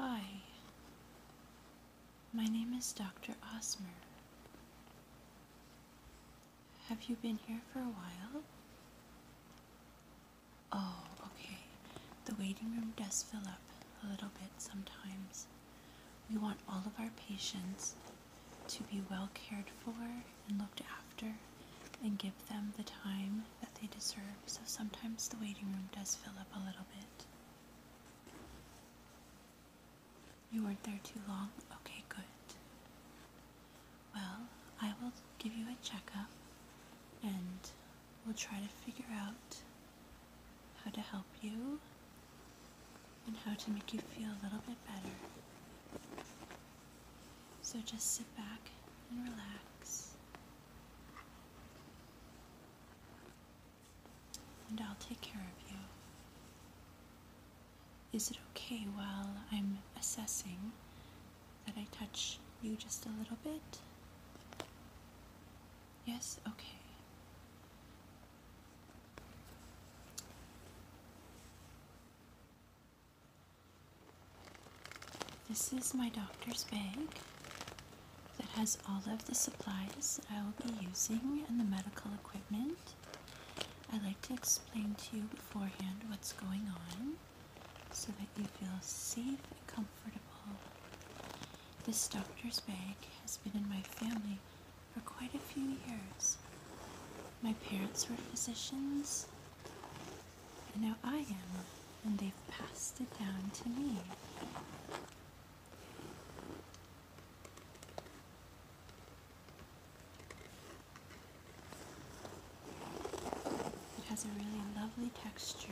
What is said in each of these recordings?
Hi, my name is Dr. Osmer. Have you been here for a while? Oh, okay. The waiting room does fill up a little bit sometimes. We want all of our patients to be well cared for and looked after and give them the time that they deserve. So sometimes the waiting room does fill up a little bit. You weren't there too long? Okay, good. Well, I will give you a checkup and we will try to figure out how to help you and how to make you feel a little bit better. So just sit back and relax. And I'll take care of you. Is it okay while I'm assessing that I touch you just a little bit? Yes? Okay. This is my doctor's bag that has all of the supplies I will be using and the medical equipment. I like to explain to you beforehand what's going on so that you feel safe and comfortable. This doctor's bag has been in my family for quite a few years. My parents were physicians, and now I am, and they've passed it down to me. It has a really lovely texture.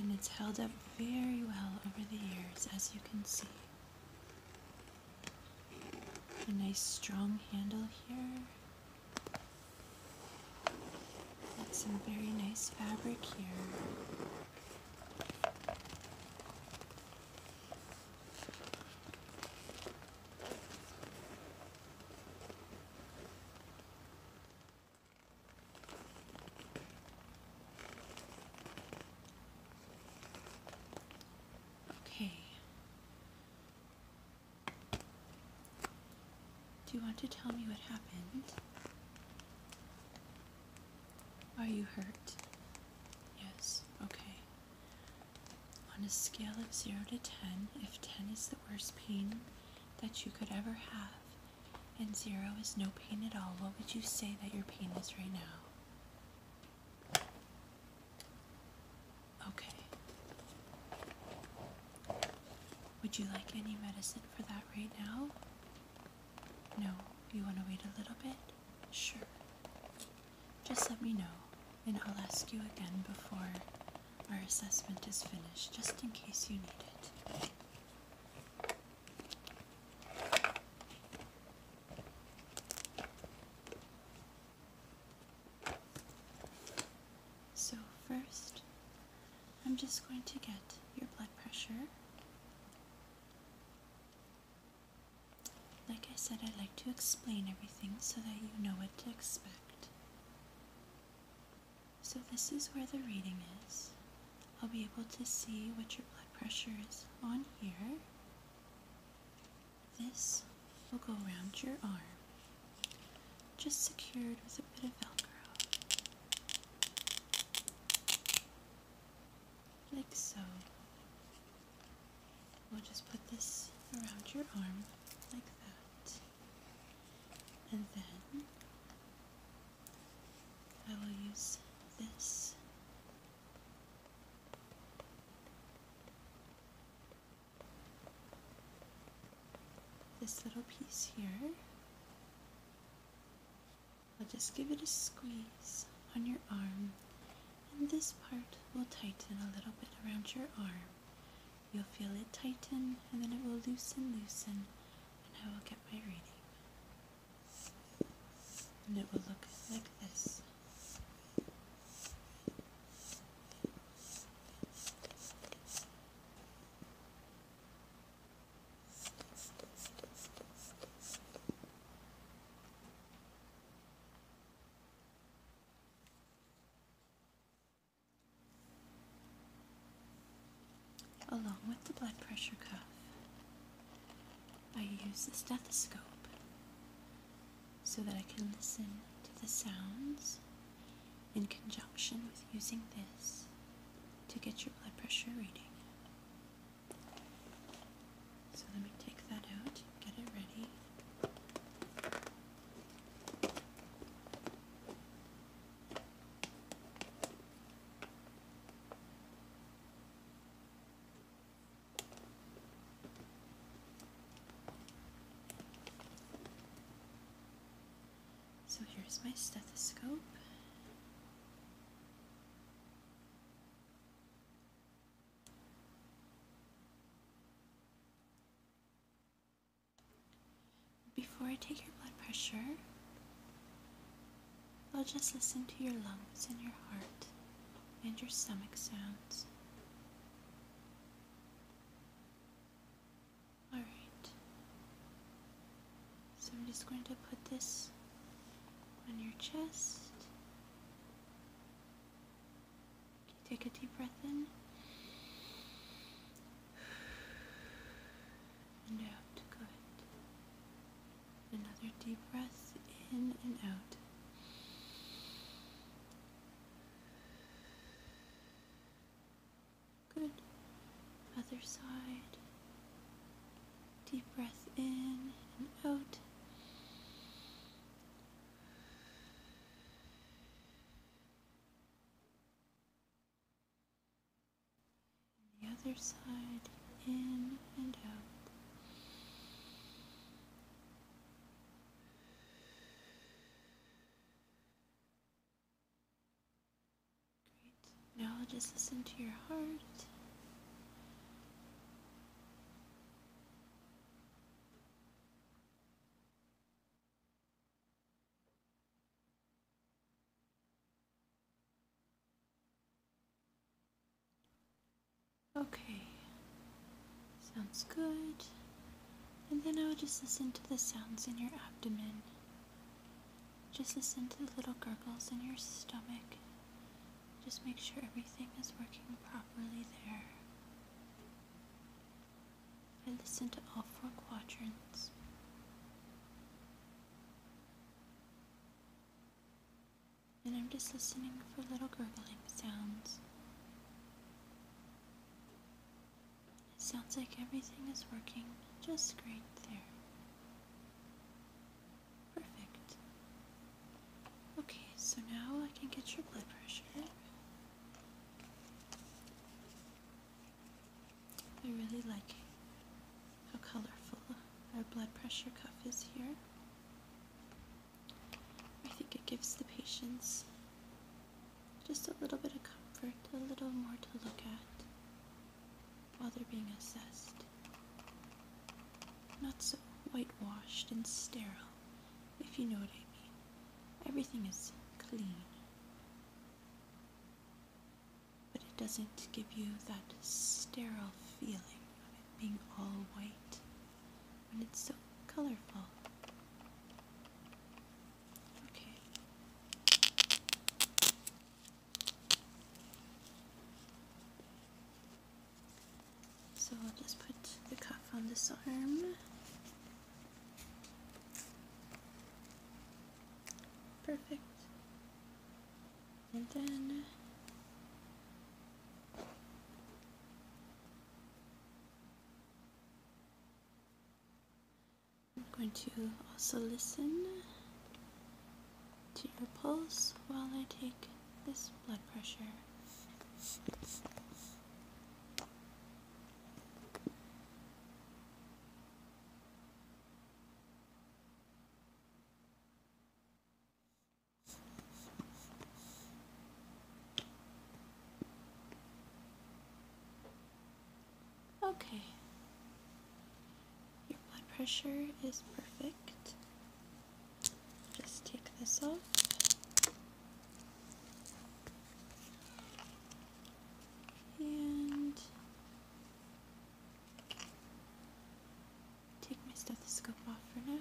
and it's held up very well over the years as you can see a nice strong handle here. some very nice fabric here. Okay. Do you want to tell me what happened? Are you hurt? Yes, okay. On a scale of 0 to 10, if 10 is the worst pain that you could ever have, and 0 is no pain at all, what would you say that your pain is right now? Okay. Would you like any medicine for that right now? No, you want to wait a little bit? Sure. Just let me know, and I'll ask you again before our assessment is finished, just in case you need it. So first, I'm just going to get your blood pressure. Like I said, I'd like to explain everything so that you know what to expect. So this is where the reading is. I'll be able to see what your blood pressure is on here. This will go around your arm, just secured with a bit of Velcro. Like so. We'll just put this around your arm, like that. And then I will use this this little piece here. I'll just give it a squeeze on your arm, and this part will tighten a little bit around your arm. You'll feel it tighten, and then it will loosen, loosen, and I will get my reading. And it will look like this. Along with the blood pressure cuff, I use the stethoscope so that I can listen to the sounds in conjunction with using this to get your blood pressure reading. So let me take that out, get it ready. So here's my stethoscope. Before I take your blood pressure, I'll just listen to your lungs and your heart and your stomach sounds. Alright, so I'm just going to put this on your chest. Take a deep breath in and out. Good. Another deep breath in and out. Good. Other side. Deep breath in and out. the other side in and out. Great. Now just listen to your heart. Okay, sounds good. And then I will just listen to the sounds in your abdomen. Just listen to the little gurgles in your stomach. Just make sure everything is working properly there. I listen to all four quadrants and I'm just listening for little gurgling sounds. It sounds like everything is working just great there. Perfect. Okay, so now I can get your blood pressure. I really like how colorful our blood pressure cuff is here. I think it gives the patients just a little bit of comfort, a little more to look at while they're being assessed. Not so whitewashed and sterile, if you know what I mean. Everything is clean. But it doesn't give you that sterile feeling of it being all white when it's so colorful. Okay. So I'll just put the cuff on this arm. Perfect. And then I'm going to also listen to your pulse while I take this blood pressure. Okay. Your blood pressure is perfect. Just take this off. And Take my stethoscope off for now.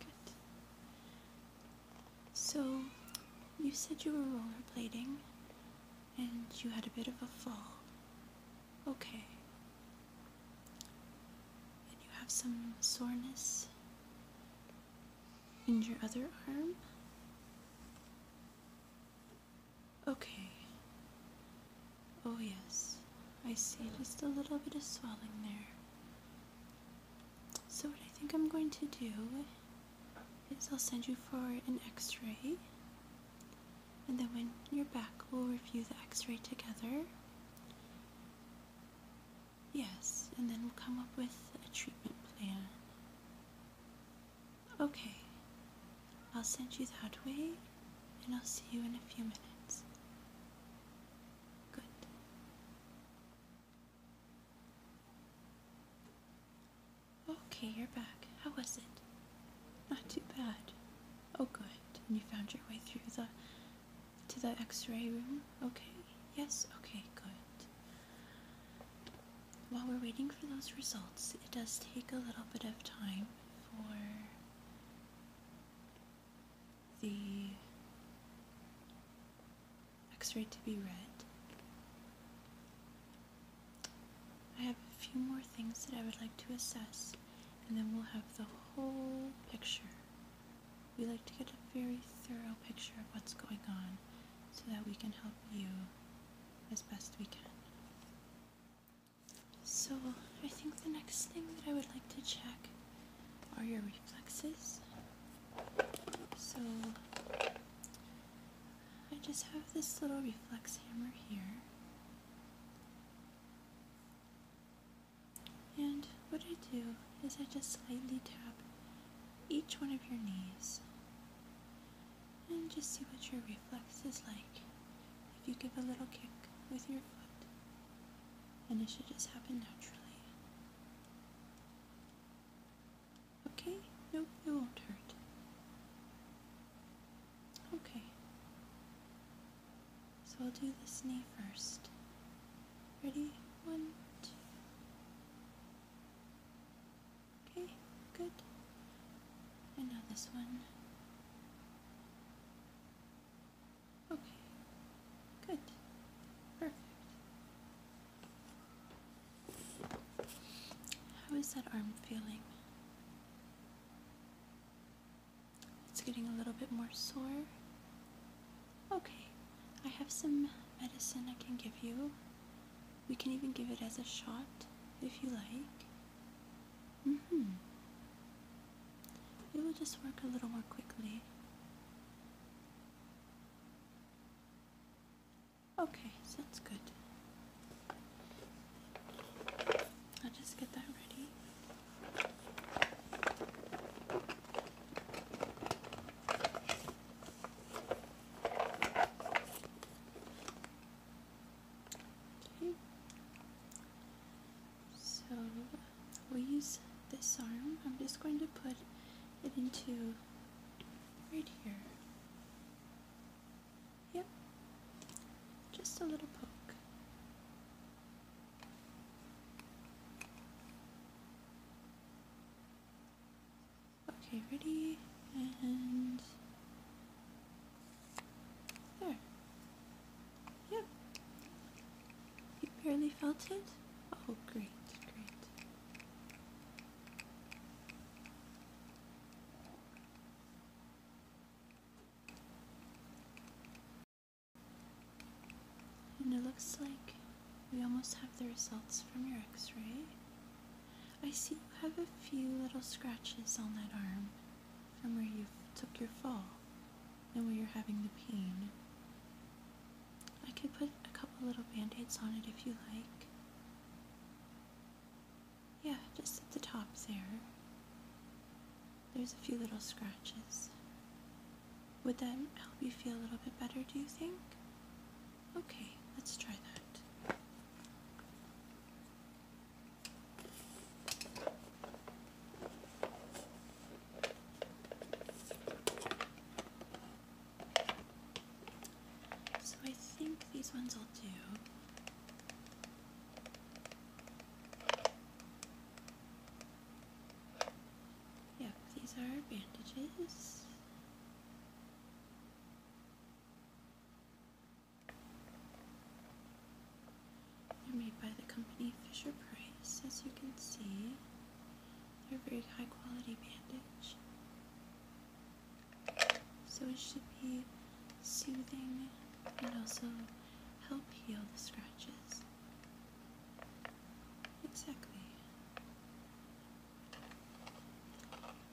Good. So, you said you were rollerblading and you had a bit of a fall. Okay. And you have some soreness in your other arm. Okay. Oh, yes. I see just a little bit of swelling there. So, what I think I'm going to do is I'll send you for an x ray. And then when you're back, we'll review the x ray together. Yes, and then we'll come up with a treatment plan. Okay, I'll send you that way and I'll see you in a few minutes. Good. Okay, you're back. How was it? Not too bad. Oh, good. And you found your way through the to the X-ray room. Okay. Yes. Okay. Good while we're waiting for those results, it does take a little bit of time for the x-ray to be read. I have a few more things that I would like to assess and then we'll have the whole picture. We like to get a very thorough picture of what's going on so that we can help you as best we can. So, I think the next thing that I would like to check are your reflexes. So, I just have this little reflex hammer here. And what I do is I just slightly tap each one of your knees and just see what your reflex is like if you give a little kick with your foot, and it should just happen naturally. Okay? Nope, it won't hurt. Okay. So I'll do this knee first. Ready? One, two. Okay, good. And now this one. Okay, good. Perfect. How is that arm feeling? It's getting a little bit more sore. Okay, I have some medicine I can give you. We can even give it as a shot if you like. Mm hmm. It will just work a little more quickly. Okay, sounds good. I'll just get that ready. So we use this arm. I'm just going to put it into right here. Yep. Just a little poke. Okay, ready, and there. Yep. You barely felt it? Oh, great, great. And it looks like we almost have the results from your x-ray. I see you have a few little scratches on that arm from where you took your fall and where you're having the pain. I could put a couple little band-aids on it if you like. Yeah, just at the top there. There's a few little scratches. Would that help you feel a little bit better, do you think? Okay, let's try that. So I think these ones will do. Yep, these are bandages. They're made by the company Fisher Price, as you can see. They're very high quality bandage. So it should be soothing and also help heal the scratches. Exactly.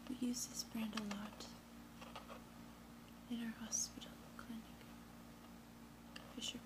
We use this brand a lot in our hospital clinic. Fisher Price.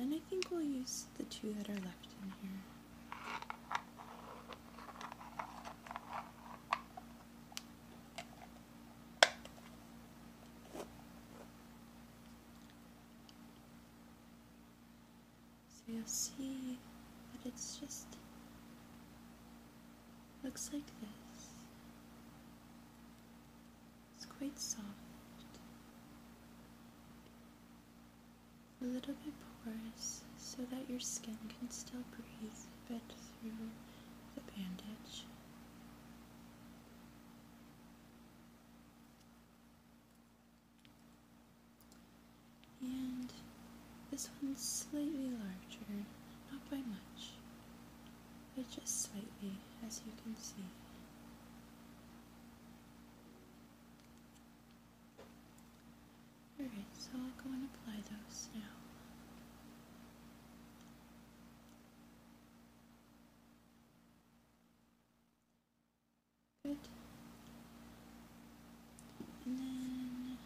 and I think we'll use the two that are left in here. So you'll see that it just looks like this. It's quite soft. A little bit porous so that your skin can still breathe a bit through the bandage. And this one's slightly larger, not by much but just slightly, as you can see. Alright, so I'll go and apply those now. Good. And then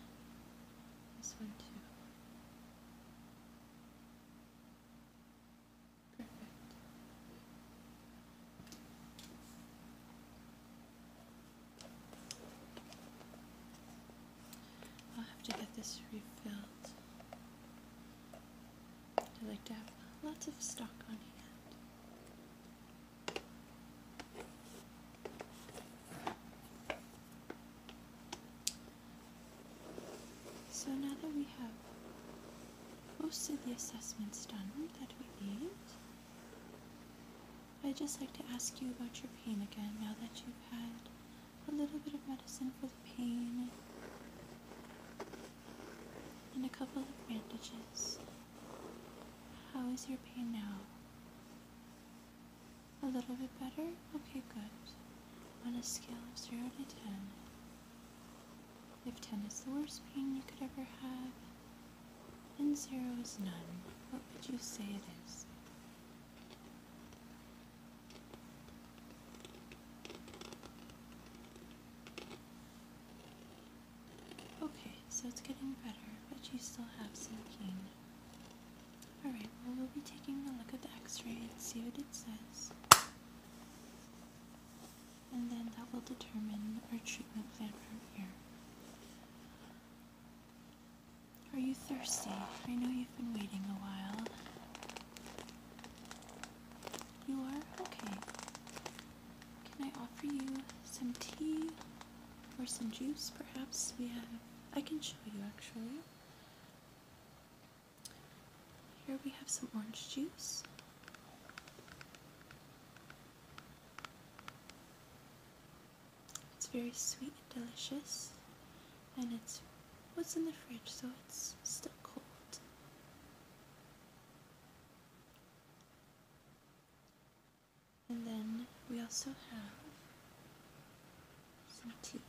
this one too. I'll have to get this refilled. I like to have lots of stock on hand. So now that we have most of the assessments done that we need, I'd just like to ask you about your pain again now that you've had a little bit of medicine for the pain and a couple of bandages. How is your pain now? A little bit better? Okay, good. On a scale of 0 to 10, if 10 is the worst pain you could ever have, and 0 is none, what would you say it is? Okay, so it's getting better, but you still have some pain. Alright, well we'll be taking a look at the x-ray and see what it says. And then that will determine our treatment plan from here. Are you thirsty? I know you've been waiting a while. You are? Okay. Can I offer you some tea or some juice perhaps? Yeah. I can show you actually. Here we have some orange juice. It's very sweet and delicious, and it's what's in the fridge, so it's still cold. And then we also have so cute.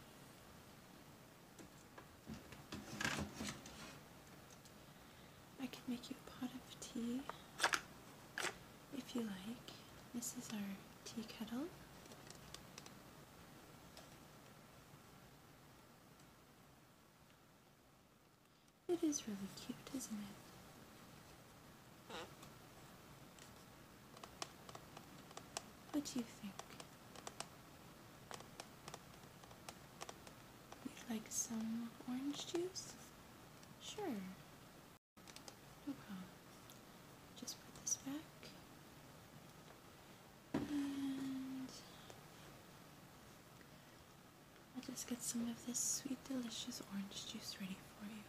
I can make you a pot of tea if you like. This is our tea kettle. It is really cute, isn't it? What do you think? You'd like some orange juice? Sure. No problem. Just put this back. And I'll just get some of this sweet, delicious orange juice ready for you.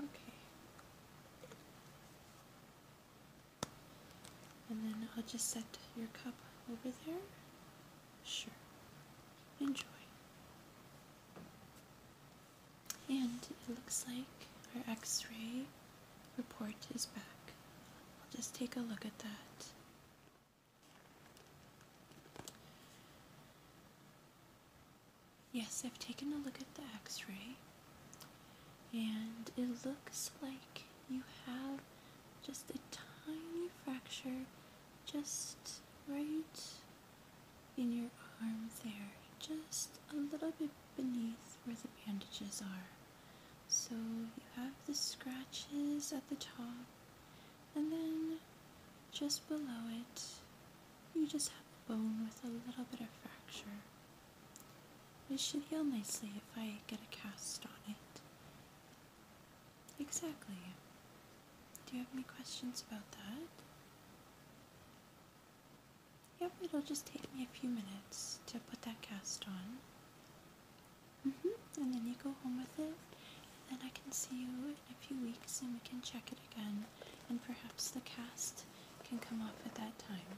Okay. And then I'll just set your cup over there. Sure. Enjoy. And it looks like our x ray report is back. I'll just take a look at that. Yes, I've taken a look at the x ray, and it looks like you have just a tiny fracture just right in your arm there, just a little bit beneath where the bandages are. So you have the scratches at the top, and then just below it, you just have bone with a little bit of fracture. It should heal nicely if I get a cast on it. Exactly. Do you have any questions about that? Yep, it'll just take me a few minutes to put that cast on. Mm-hmm, and then you go home with it, and then I can see you in a few weeks and we can check it again, and perhaps the cast can come off at that time.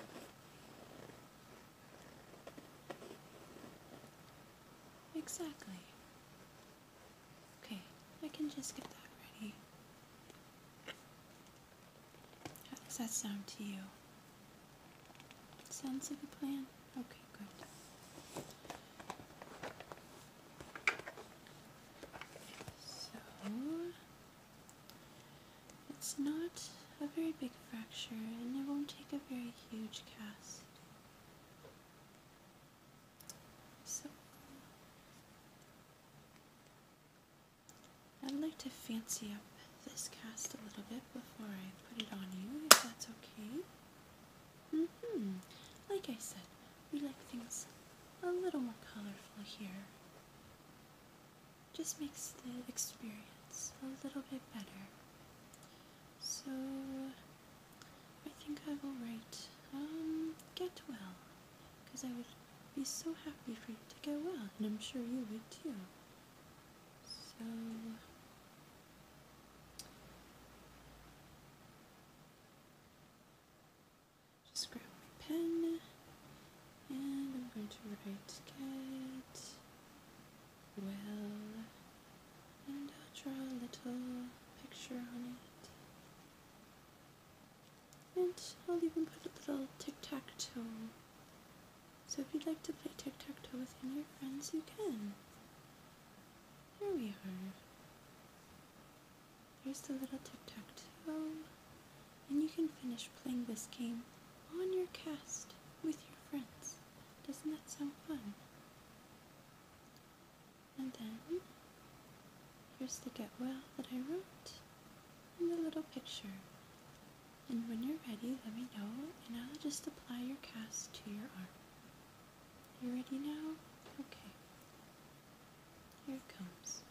Exactly. Okay, I can just get that ready. How does that sound to you? Sounds like a plan? Okay, good. So, it's not a very big fracture and it won't take a very huge cast. So, I'd like to fancy up this cast a little bit before I put it on you, if that's okay. Mm-hmm. Like I said, we like things a little more colorful here. Just makes the experience a little bit better. So, I think I will write, um, get well because I would be so happy for you to get well, and I'm sure you would too. So, just grab my pen, and I'm going to write get well, and I'll draw a little picture on it. And I'll even put a little tic-tac-toe. So if you'd like to play tic-tac-toe with any of your friends, you can. Here we are. Here's the little tic-tac-toe. And you can finish playing this game on your cast with your friends. Doesn't that sound fun? And then, here's the get well that I wrote and the little picture. And when you're ready, let me know, and I'll just apply your cast to your arm. You ready now? Okay. Here it comes.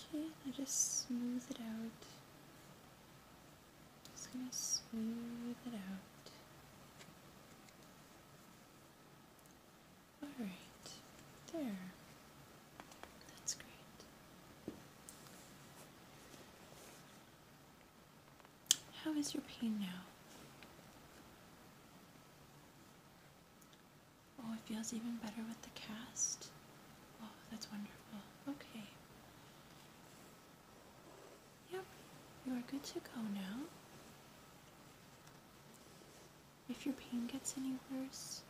Okay, I just smooth it out. Just gonna smooth it out. Alright, there. That's great. How is your pain now? Oh, it feels even better with the cast. Oh, that's wonderful. Okay. Yep, you are good to go now. If your pain gets any worse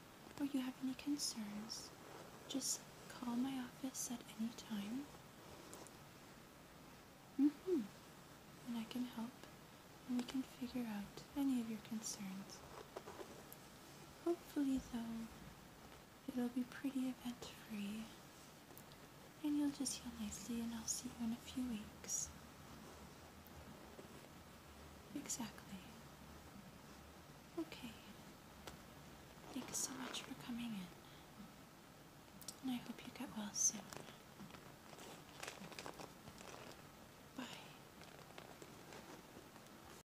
or you have any concerns, just call my office at any time. Mm hmm And I can help and we can figure out any of your concerns. Hopefully, though, It'll be pretty event free. And you'll just heal nicely, and I'll see you in a few weeks. Exactly. Okay. Thanks so much for coming in. And I hope you get well soon. Bye.